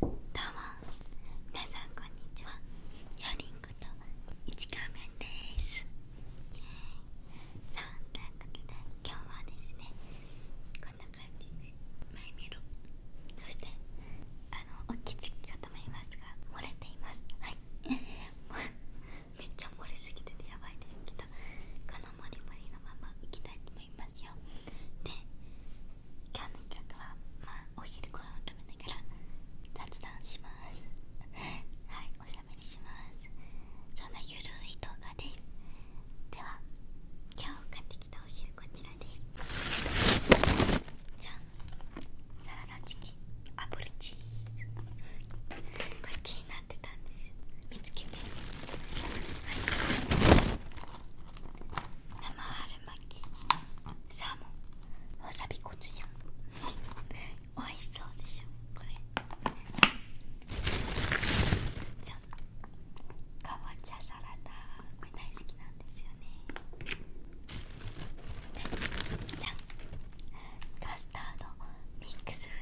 どうも皆さんこんにちはヨリンこと市川めんですそんなことで今日はですねこんな感じで前見ろそしてあのお気づきかと思いますが漏れていますはい めっちゃ漏れすぎててやばいですけどこんのモリモリのままいきたいと思いますよで今日の企画はまあお昼ご飯を食べながら雑談します はいおしゃべりしますそんなゆるい動画ですでは今日買ってきたお昼こちらですじゃんサラダチキン炙りチーズこれ気になです見つけて、はい、生春巻きサーモンわさびコチュジャおいしそうでしょこれじゃあかぼちゃサラダこれ大好きなんですよねじゃんカスタードミックスフ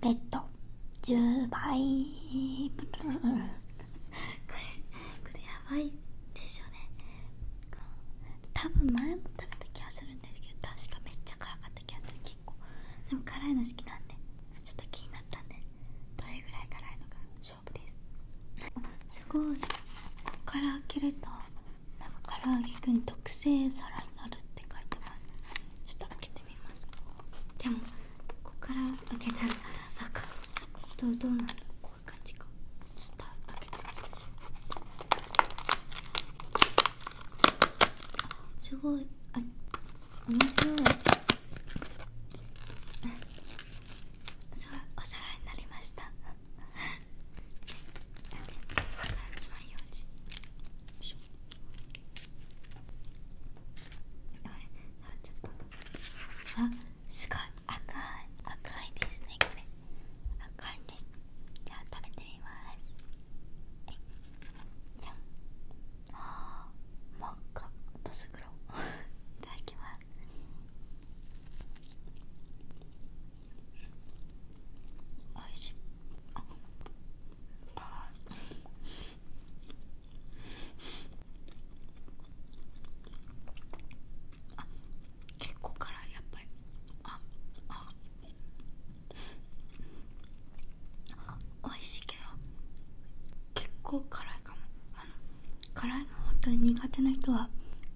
ベッド10倍 これこれやばいですよね多分前も食べた気がするんですけど確かめっちゃ辛かった気がする結構でも辛いの好きなんでちょっと気になったんでどれぐらい辛いのか勝負ですすごいここから開けるとなんから揚げくん特製皿になるって書いてますちょっと開けてっでもここから開けたらあかどうどうなのこういう感じかょすごいあ面白いすごいお皿になりましたつまようじ。ちょっとあすごい赤い赤いですねこれ赤いですじゃあ食べてみますはい。じゃああ真っ赤とすぐろいただきますおいしいあああ結構辛いやっぱりああ美味しいけど結構辛いかもあの辛いの本当に苦手な人は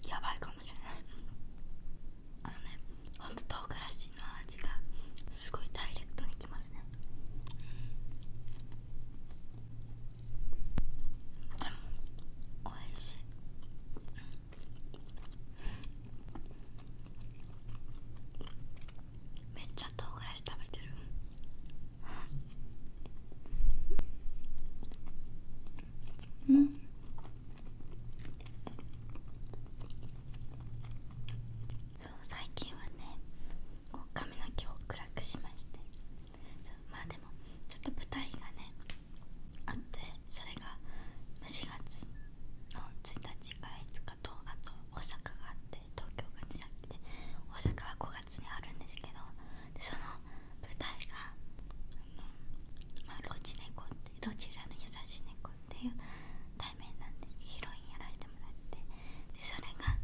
やばいかもしれないあのねほんと唐辛子の味がすごいダイレクトにいきますねでもおいしいめっちゃ唐辛子食べてるん。ううん最近はねこう髪の毛を暗くしましてまあでもちょっと舞台がねあってそれが4月の1日から5日とあと大阪があって東京が2先で大阪は5月にあるんですけどその舞台があのまロチ猫ってロチラの優しい猫っていうでヒロインやらせてもらってそれが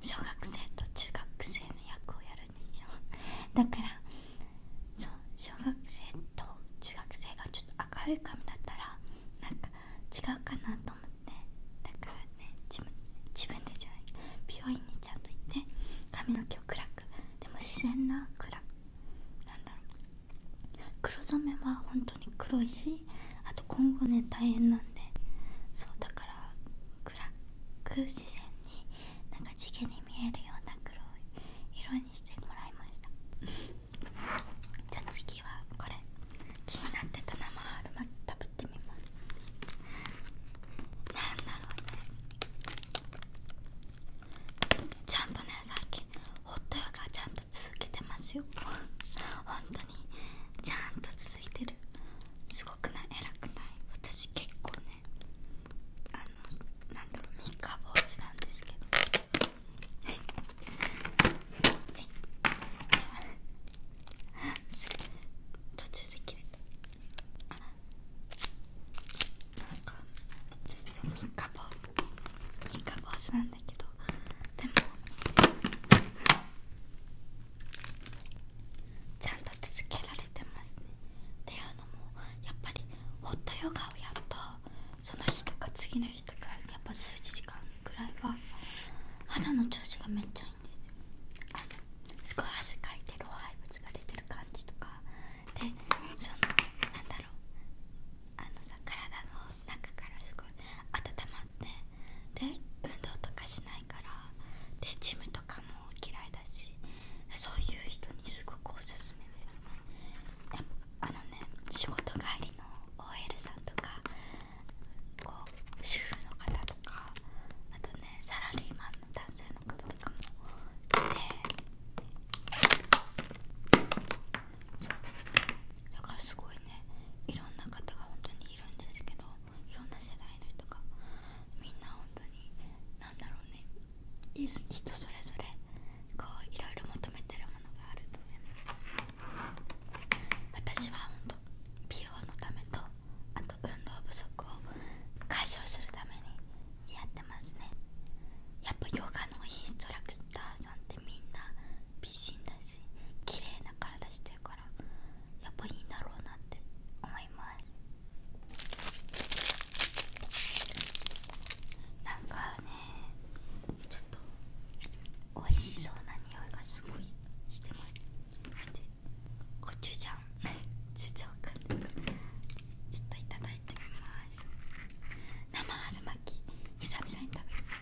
小学生と中学生の役をやるんでしょだからそう小学生と中学生がちょっと赤い髪だったらなんか違うかなと思ってだからね自分でじゃない病院にちゃんと行って髪の毛を暗くでも自然な暗くなんだろう黒染めは本黒いしあと今後ね大変なんでそうだから暗く自然になんか地毛に見えるような黒い色にしてもらいました じゃあ次はこれ気になってた生春巻き食べてみますなんだろうねちゃんとねさっきホットヨガちゃんと続けてますよ 本当にちゃんとついてすごくない偉くない私結構ねあのなんだろう三日坊主なんですけどはい途中で切れたなんか三日坊主なんでもちゃんと続けられてますねっていうのもやっぱりホットヨガをやったその日とか次の日とかやっぱ数時間ぐらいは肌の調子がめっちゃいいんですよあのすごい汗かいて老廃物が出てる感じとかでそのなんだろうあのさ体の中からすごい温まってで運動とかしないからでジムとかも嫌いだしそういう人にすごくおすすめですねあのね仕事帰りの OL さんとかこう主婦の方とかあとねサラリーマンの男性の方とかもいてそうだからすごいねいろんな方が本当にいるんですけどいろんな世代の人がみんな本当に何だろうね人それぞれこういろいろ求めてるものがあると思います私は本当美容のためとあと運動不足を解消するためにやってますねやっぱヨガのインストラクターさんってみんな美人だし綺麗な体してるからやっぱいいんだろうなって思いますなんかねちょっとおいしそうな匂いがすごいしてます見てコチュジ んないちょっといただいてみます生春巻き久々に食べる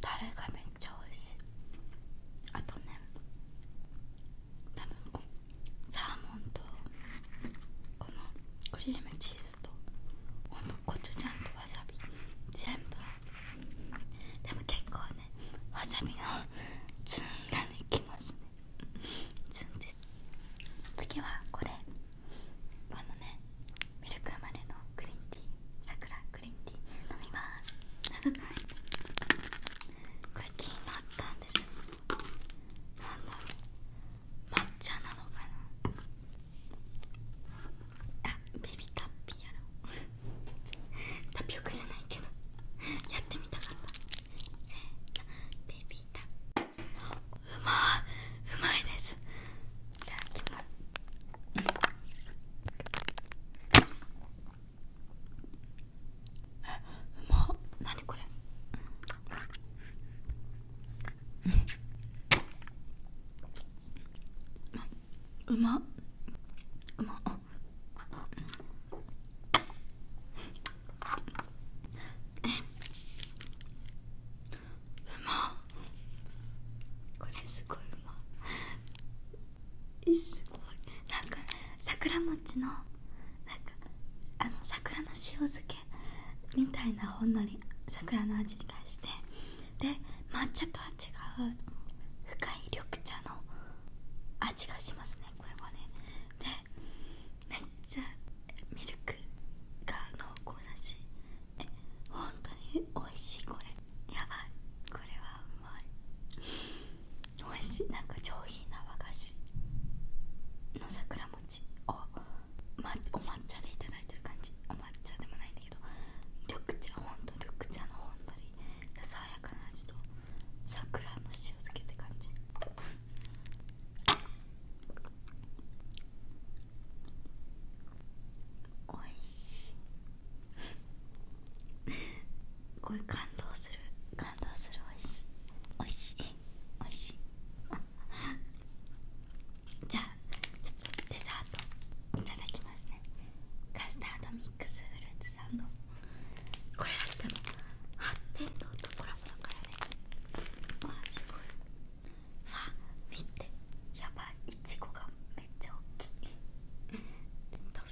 タレがめっちゃ美味しいあとね多分サーモンとこのクリームチーズとこのコチュジャンとわさび全部でも結構ねわさびのツンがねきますねツンです次はこれこのねミルク生まれのクリンティー桜クリンティー飲みます長い これ気になったんですよなんだろう抹茶なのかなあベビーカッピーやろタピオカじゃないけどやってみたかったうまいうまいですうまっうまうまっ。これすごいうますごいなんか桜餅のなんかあの桜の塩漬けみたいなほんのり桜の味がしてで抹茶と違う深い緑茶の味がしますねこれはねでめっちゃミルクが濃厚だしえ本当に美味しいこれやばいこれはうまい美味しいなんか上品な和菓子の桜餅を、ま、お抹茶でいただいてる感じお抹茶でもないんだけど緑茶ほんと緑茶のほんのり爽やかな味と桜の塩漬けって感じおいしいこれ感動する感動するおいしいおいしいおいしい じゃあちょっとデザートいただきますねカスタードミッミックスフルーツさんのこれだっても発展堂とコラボだからねわあすごいわ見てやばいいちごがめっちゃっきい飛び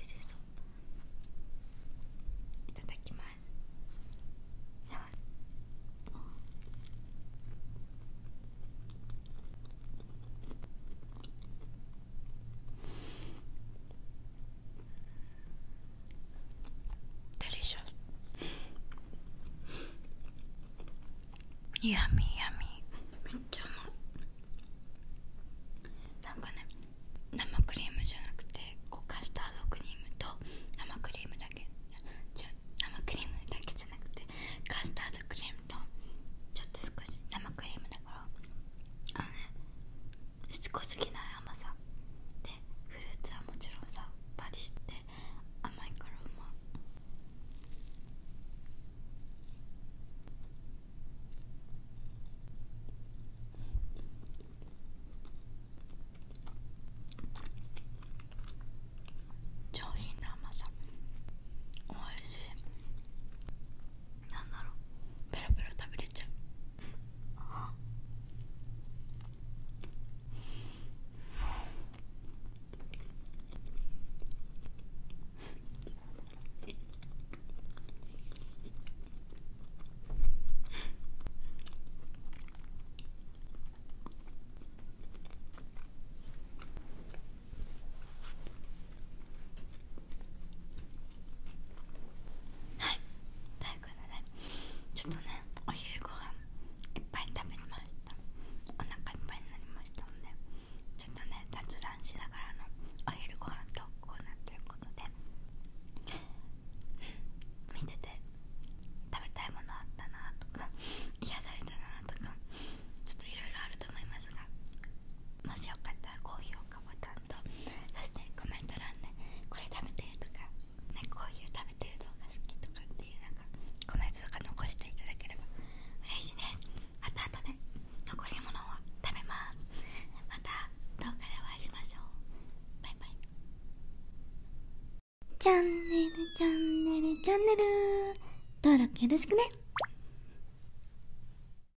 出そういただきますやばい d e l i c i o u めっちゃうまい。なんかね、生クリームじゃなくて、こうカスタードクリームと生クリームだけ。生クリームだけじゃなくてカスタードクリームとちょっと少し生クリームだだあのねしつこすぎない甘さでフルーツはもちろんさパリして甘いからうまい上品な甘さおいしいなんだろうペロペロ食べれちゃうあはいということでちょっとねお昼ご飯いっぱい食べましたお腹いっぱいになりましたのでちょっとね雑談しながらのお昼ご飯とーナーということで見てて食べたいものあったなとか癒されたなとかちょっといろいろあると思いますがもしよかったら高評価ボタンそしてコメント欄で、これ食べて」とか、ね「こういう食べてる動画好き」とかっていうなんかコメントとか残していただければ嬉しいですまた後で残り物は食べますまた動画でお会いしましょうバイバイチャンネルチャンネルチャンネル登録よろしくね